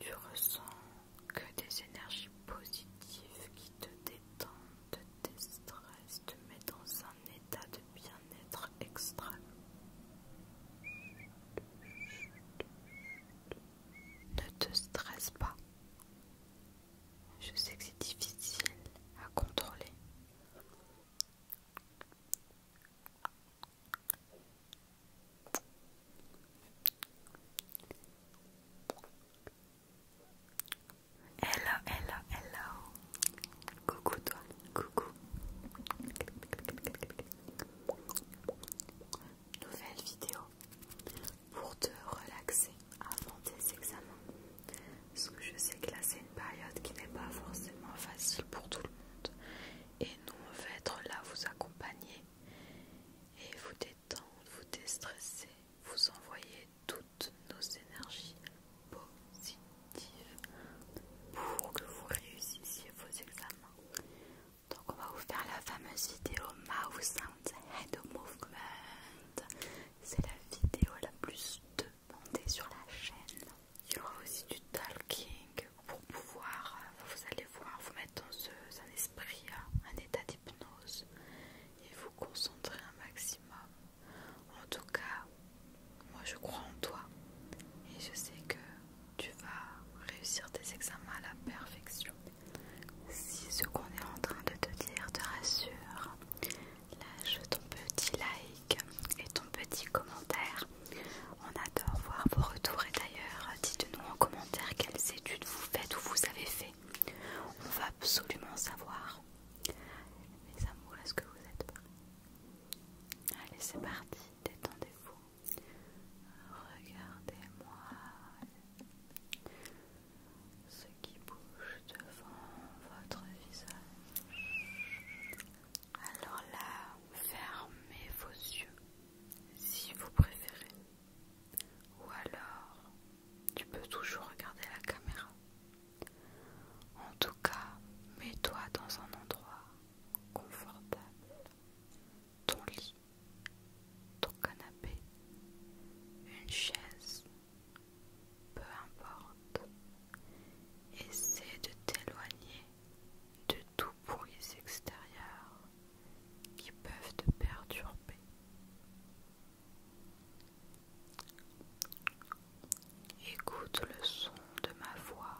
Tu ressens que des énergies positives qui te détendent, te déstressent, te mettent dans un état de bien-être extrême. Ne te stresse pas. Je sais que c'est difficile à contrôler. Hello, hello, hello. Coucou toi, coucou. Nouvelle vidéo pour te relaxer avant tes examens. Parce que je sais que là c'est une période qui n'est pas forcément facile pour tout le monde. Et nous on va être là vous accompagner et vous détendre, vous déstresser, vous envoyer toutes nos énergies positives pour que vous réussissiez vos examens. Donc on va vous faire la fameuse vidéo Mouth sounds Head Movement. C'est la vidéo la plus demandée sur la chaîne. Il y aura aussi du talking, pour pouvoir, euh, vous allez voir, vous mettre dans un esprit, euh, un état d'hypnose et vous concentrer un maximum. En tout cas, moi je crois en toi et je sais que tu vas réussir tes examens à la perfection. Si ce qu'on est en train de te dire te rassure, lâche ton petit like et ton petit commentaire. On a adore voir vos retours et d'ailleurs dites-nous en commentaire quelles études vous faites ou vous avez fait. On va absolument savoir. Mes amours, est-ce que vous êtes prêts Allez, c'est parti, détendez-vous. Regardez-moi ce qui bouge devant votre visage. Alors là, fermez vos yeux si vous préférez. Ou alors, tu peux toujours regarder la caméra. En tout cas, mets-toi dans un endroit confortable. Ton lit, ton canapé, une chaise, peu importe. Essaie de t'éloigner de tous bruit extérieurs qui peuvent te perturber. Écoute le son de ma voix.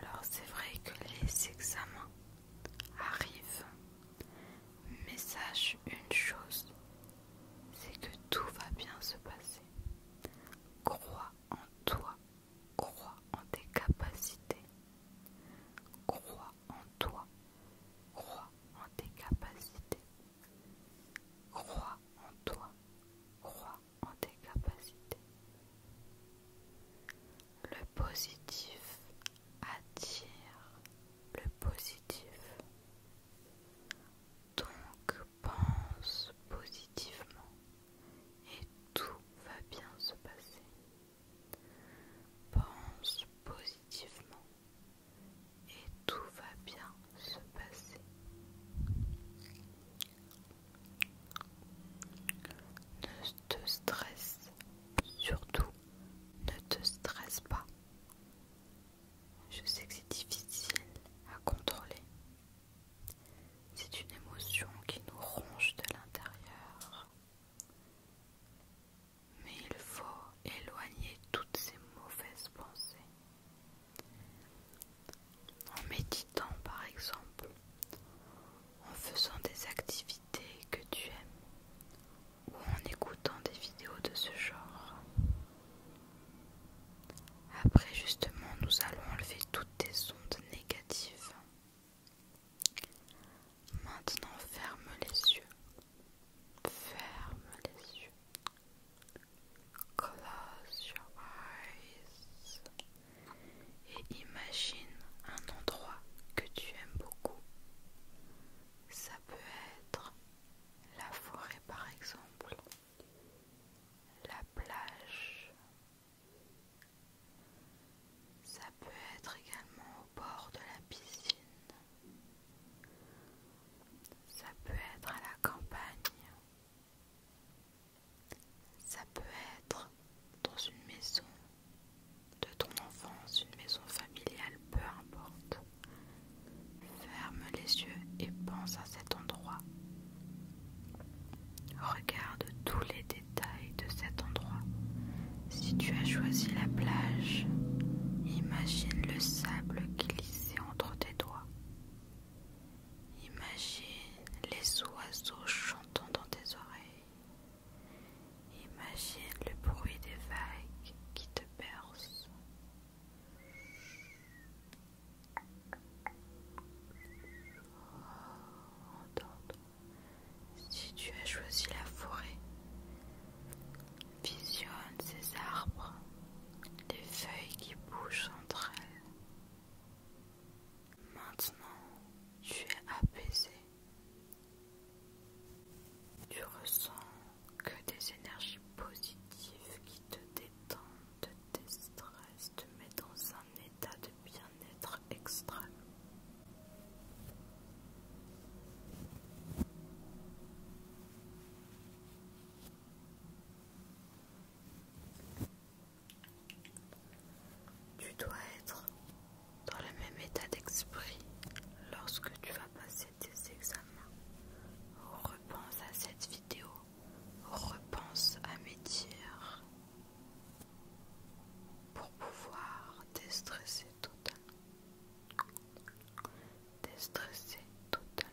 Alors c'est vrai que les examens arrivent, mais sache une chose, c'est que tout va bien se passer. Crois en toi, crois en tes capacités. Crois en toi, crois en tes capacités. Crois en toi, crois en tes capacités. Le positif attire le positif. Donc pense positivement et tout va bien se passer. Pense positivement et tout va bien se passer. Ne te stresse, surtout ne te stresse pas. Je sais que c'est difficile à contrôler. C'est une émotion qui nous ronge de l'intérieur. Mais il faut éloigner toutes ces mauvaises pensées. En méditant par exemple, en faisant des activités que tu aimes ou en écoutant des vidéos de ce genre. Après justement nous allons enlever toutes tes ondes négatives. Maintenant ferme les yeux. Ferme les yeux. Close your eyes. Et imagine un endroit que tu aimes beaucoup. Ça peut être la forêt par exemple, la plage. Ça peut être également au bord de la piscine. Ça peut être à la campagne. Ça peut être dans une maison de ton enfance, une maison familiale, peu importe. Ferme les yeux et pense à cet endroit. Regarde tous les détails de cet endroit. Si tu as choisi la plage, imagine le sable glissé entre tes doigts. Imagine les oiseaux chantant dans tes oreilles. Imagine le bruit des vagues qui te bercent. Si tu as choisi la forêt, visionne ces arbres, les feuilles qui bougent entre elles. Maintenant, tu es apaisé. Tu ressens que des énergies positives qui te détendent, te déstressent, te mettent dans un état de bien-être extrême. Tu dois être dans le même état d'esprit lorsque tu vas passer examen examens. Repense à cette vidéo. Repense à mes tirs pour pouvoir déstresser tout Déstresser totalement.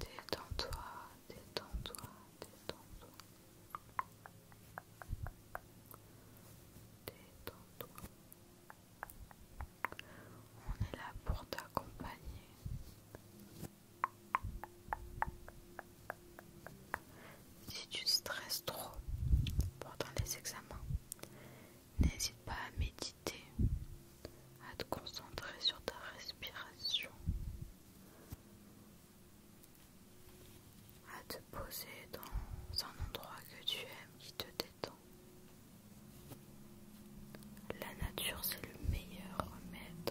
Détends-toi, détends-toi, détends-toi. Détends-toi. On est là pour t'accompagner. Si tu stresses trop pendant les examens, n'hésite pas à méditer, à te concentrer sur ta respiration, à te poser dans un endroit que tu aimes qui te détend. La nature, c'est le meilleur remède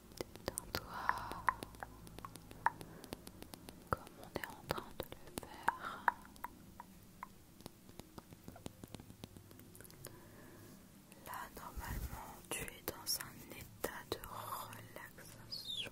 Détends-toi comme on est en train de le faire. Là, normalement, tu es dans un état de relaxation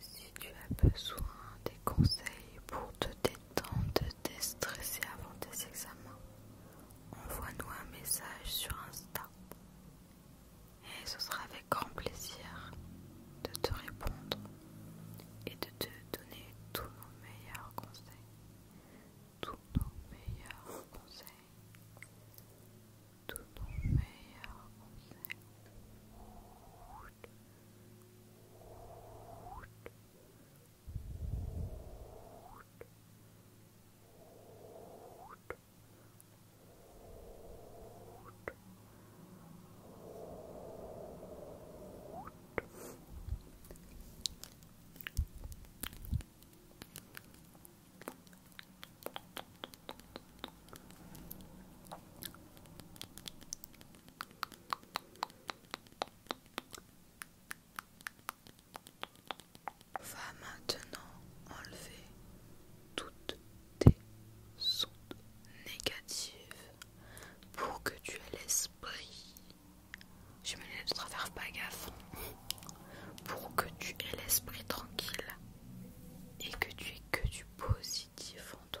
Si tu as besoin des conseils pour te détendre, te déstresser avant tes examens, envoie-nous un message sur Insta. Et ce sera avec grand plaisir de te répondre et de te tout tous nos meilleurs conseils, tous nos meilleurs conseils, Va maintenant enlever toutes tes sons négatives pour que tu aies l'esprit. je me laisse de travers, pas gaffe. Pour que tu aies l'esprit tranquille et que tu aies que du positif en toi.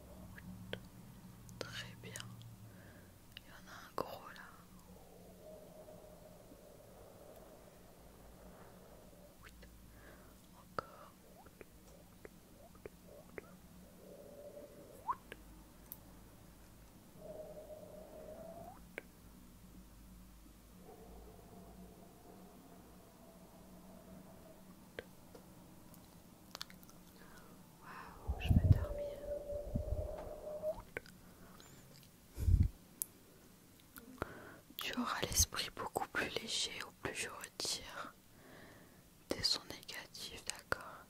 Très bien. Il y en a un gros là. Encore. Waouh, je Tu auras l'esprit beaucoup plus léger au plus je retire des sons négatifs, d'accord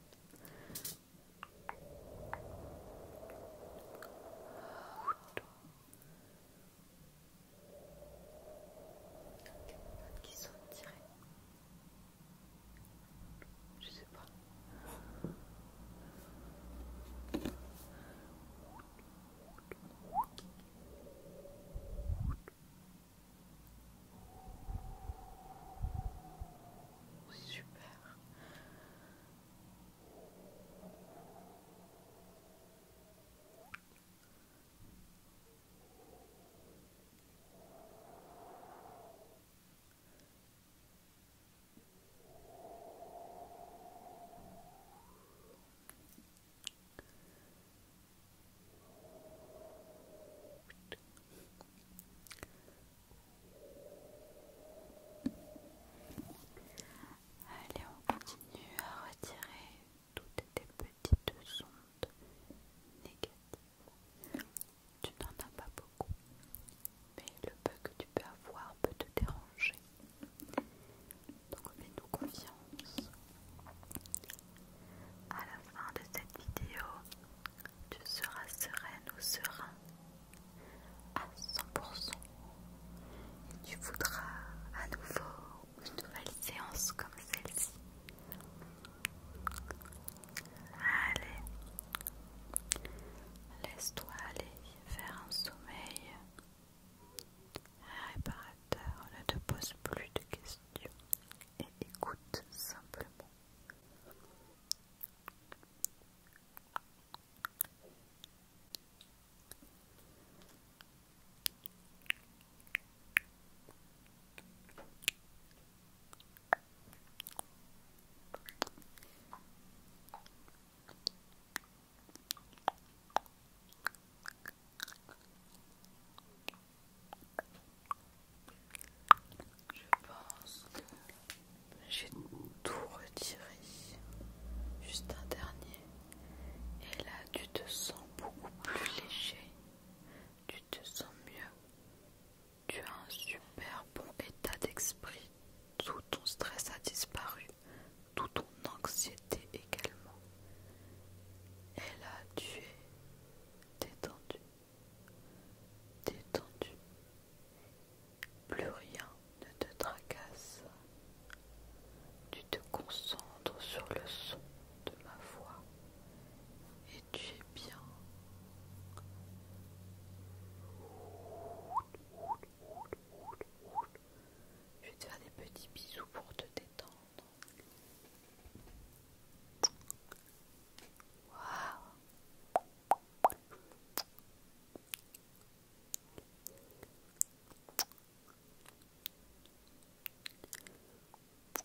qui sont je sais pas. Super. Allez, on continue à retirer toutes tes petites ondes négatives. Tu n'en as pas beaucoup, mais le peu que tu peux avoir peut te déranger. Donc mets nous confiance. À la fin de cette vidéo, tu seras sereine ou serein à 100%. Et tu voudras à nouveau une nouvelle séance comme celle-ci. Allez, laisse-toi aller Faire un sommeil réparateur. Ne te pose plus de questions et écoute simplement. Je pense que j'ai tout retiré. Juste un dernier. Et là, tu te sens beaucoup plus léger tu te sens mieux. Tu as un super bon état d'esprit. Tout ton stress a disparu. Tout ton anxiété également. Et là, tu es détendu. Détendu. Plus rien ne te tracasse. Tu te concentres sur le son de ma voix et tu es bien. Je vais te faire des petits bisous pour te détendre.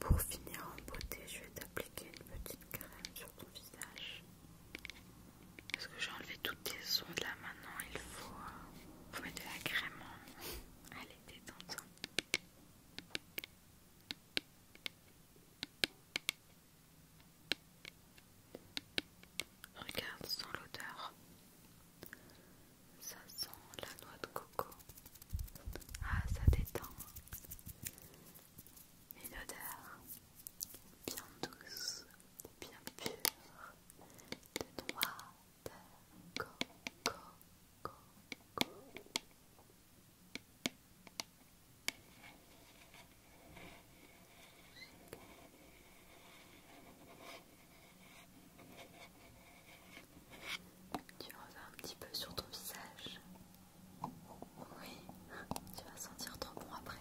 Pour finir en beauté, je vais t'appliquer une petite crème sur ton visage. Parce que j'ai enlevé toutes tes ondes là maintenant, il faut, euh, mettre de la crème. Allez, détends-toi. Regarde sans l'odeur. Ça sent la noix de coco. Ah, ça détend. Une odeur bien douce, bien pure de noix de coco. coco. Tu en un petit peu sur ton visage. Oui, tu vas sentir trop bon après.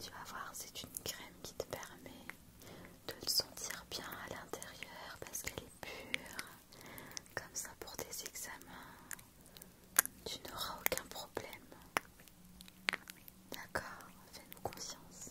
Tu vas voir, c'est une crème qui te permet de le sentir bien à l'intérieur parce qu'elle pur, comme ça pour tes examens, tu n'auras aucun problème. D'accord, fais-nous conscience.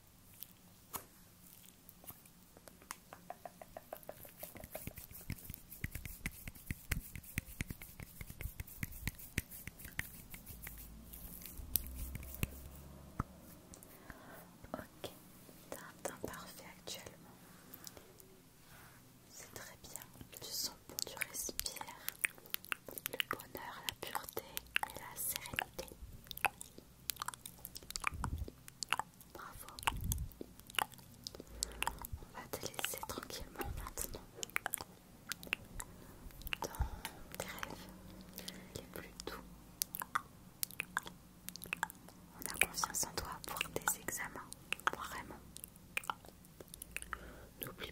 Ok, t'as un parfait actuellement. C'est très bien, tu sens bon, tu respires le bonheur, la pureté et la sérénité. Bravo. On va te laisser tranquillement maintenant dans tes rêves les plus doux. On a confiance en toi pour tes examens, vraiment. N'oublie